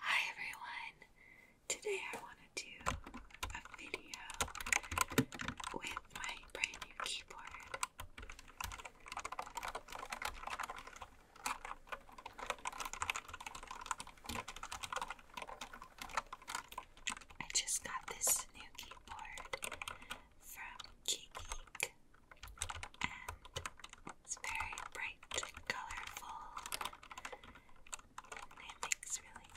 Hi everyone! Today I want to do a video with my brand new keyboard. I just got this new keyboard from Key Geek and it's very brand bright colorful. And it makes really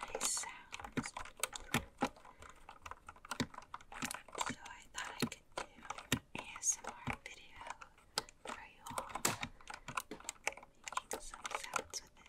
nice sounds. So I thought I could do an ASMR video for you all, making some sounds with it.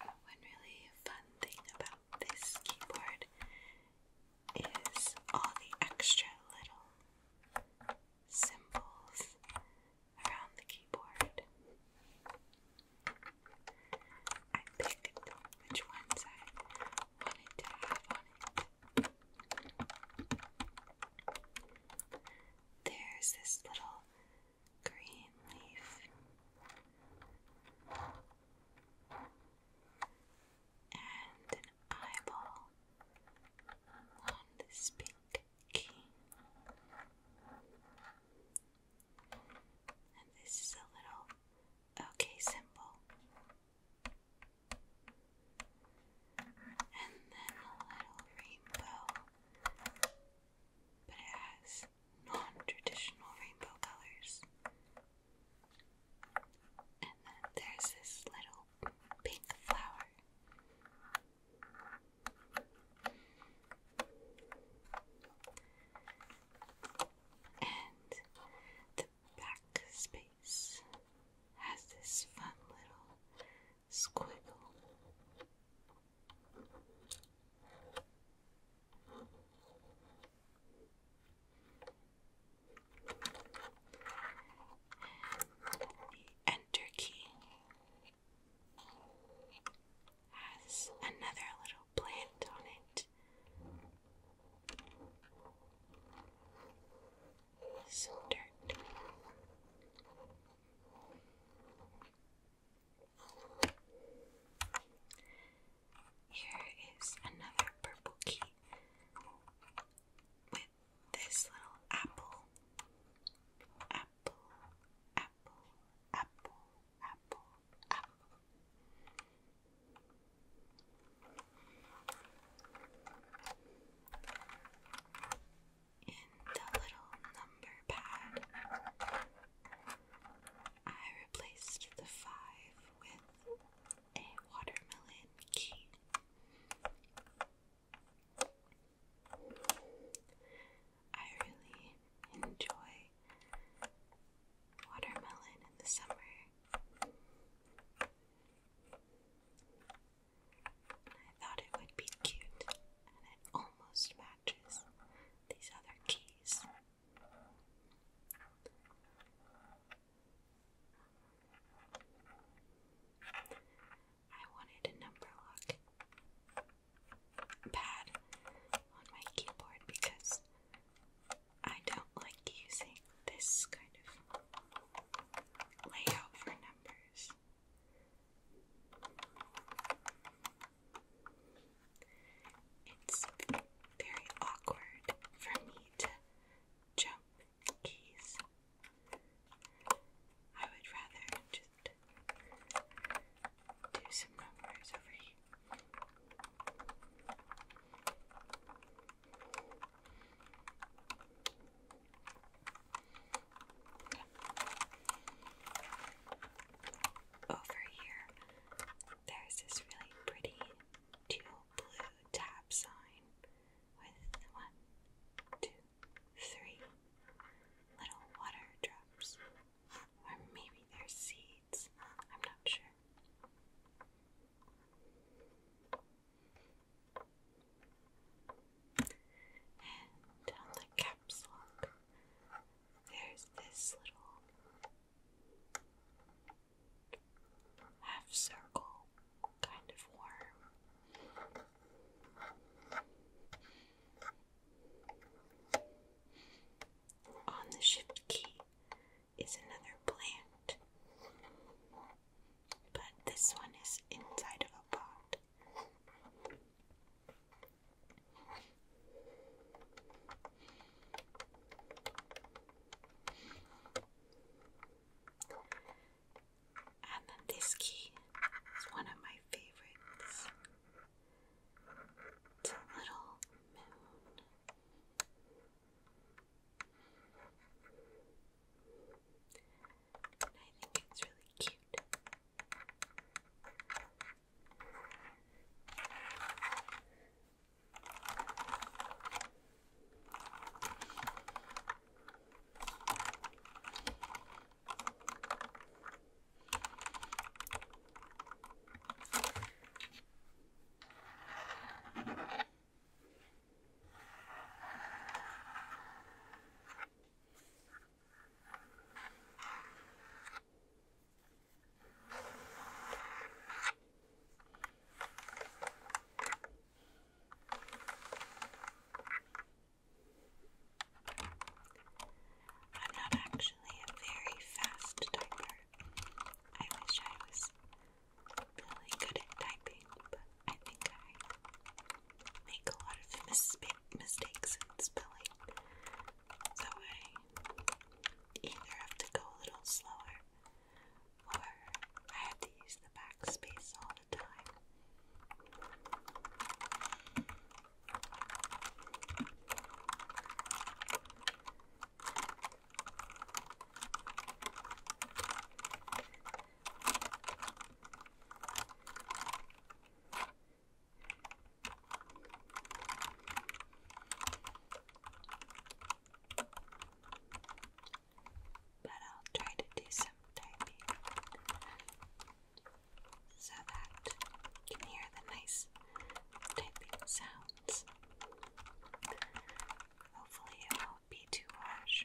One really fun thing about this keyboard is all the extra little symbols around the keyboard. I picked which ones I wanted to have on it. There's this little green leaf. And an eyeball on this pink key. And this is a little okay symbol and then a little rainbow, but it has non-traditional rainbow colors. And then there's this little pink flower. And the Backspace has this fun little squiggle. The enter key has another little plant on it some Here is another purple key with this little apple. Apple, apple, apple, apple, apple. In the little number pad, I replaced the five with a watermelon key. I really enjoy watermelon in the summer. I thought it would be cute, and it almost matches these other keys. I wanted a number lock pad on my keyboard because I don't like using this kind of layout for numbers. It's very awkward for me to jump keys. I would rather just do some numbers over here. Over here, there's this really pretty teal blue tab sign with one, two, three little water drops. Or maybe they're seeds. I'm not sure. And the caps lock, there's this little half circle kind of worm. On the shift key, is another plant. But this one is inside of a pot. And then this key is one of my favorites. It's a little moon. And I think it's really cute. I'm not actually actually a very fast typer. I wish I was really good at typing, but I think I make a lot of mistakes in spelling. So I either have to go a little slower or I have to use the backspace all the time. But I'll try to do some typing so that you can hear the nice typing sound. Hopefully, it won't be too harsh.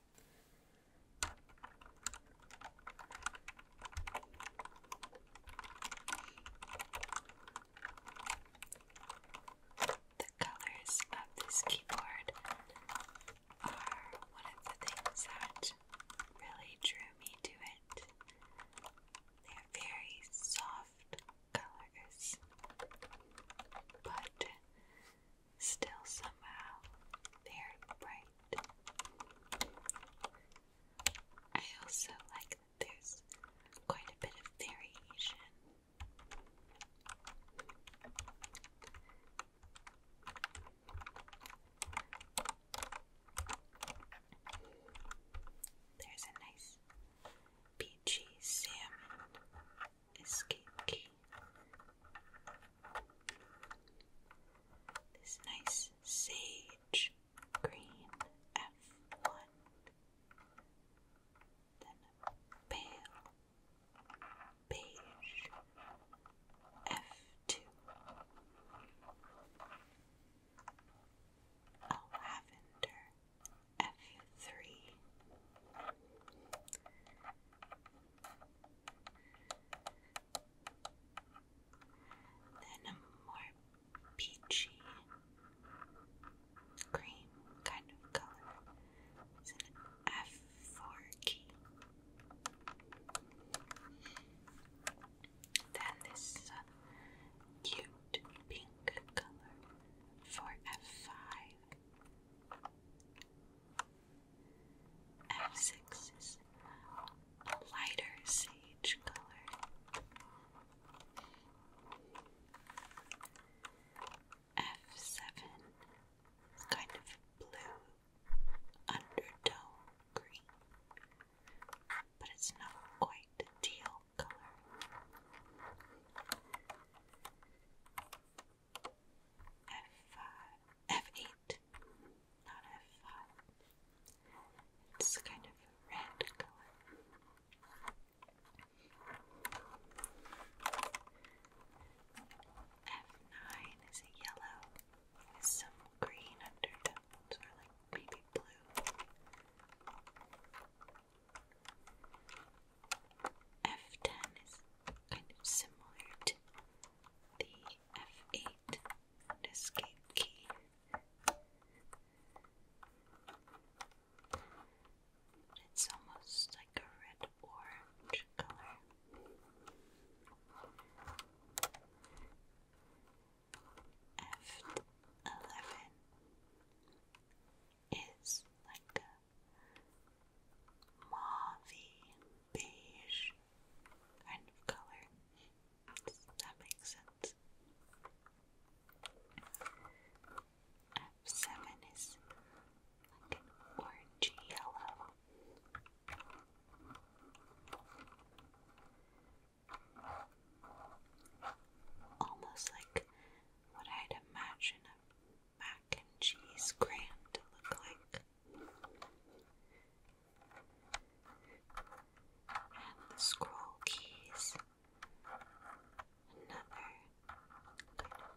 The colors of this keyboard are one of the things that really drew me to it. They are very soft colors, but Still, somehow, they bright. I also like that there's quite a bit of variation. There's a nice peachy salmon escape key. This nice sage green F1, then a pale beige F2, a lavender F3. Then a more peachy cream kind of color is F4 key. Then this cute pink color for F5. F6 is a lighter sage color. F7, kind of blue undertone green, but it's not quite a teal color. F5, F8, not F5. It's kind of a red color. F9 is a yellow with some green undertones, or like maybe blue. F10 is kind of similar to the F8 escape key. It's almost like a red orange color. F11 is like a mauvey, beige kind of color. that make sense? F7 is like an orangey yellow. Almost like what I'd imagine a mac and cheese grand look like. And the scroll keys, another kind color.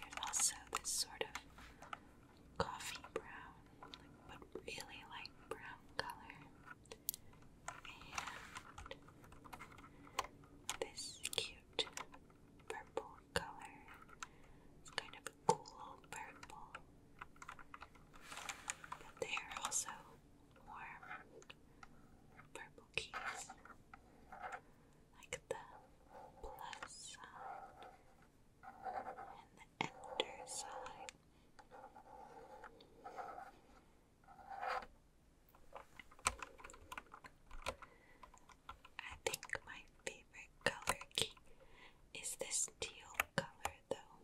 There's also this sort of coffee brown, but really light brown color, and this cute purple color. It's kind of a cool purple. But they are also warm purple keys. Like the and the enter side. I think my favorite color key is this teal color, though.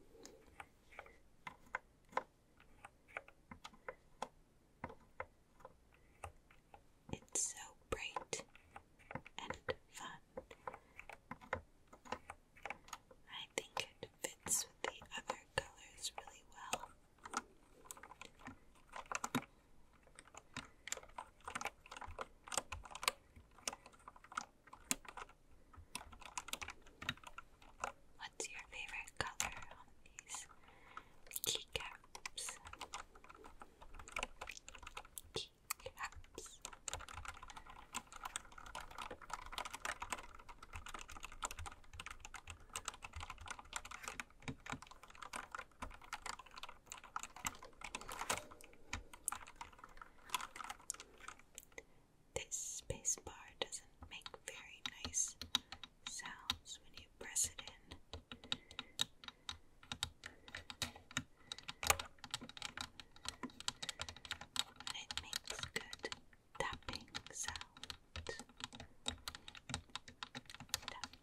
It's so bright and fun. I think it fits with the other colors really well. What's your favorite color on these keycaps? Keycaps. This space doesn't make very nice sounds when you press it in. it makes good tapping sound.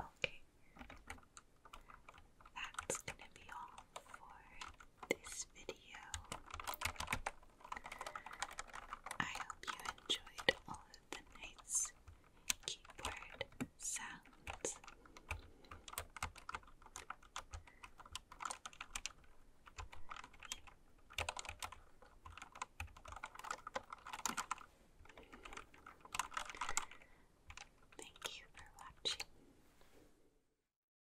Okay, that's going to be all for this video. I hope you enjoyed all of the nice keyboard sounds. Thank you for watching.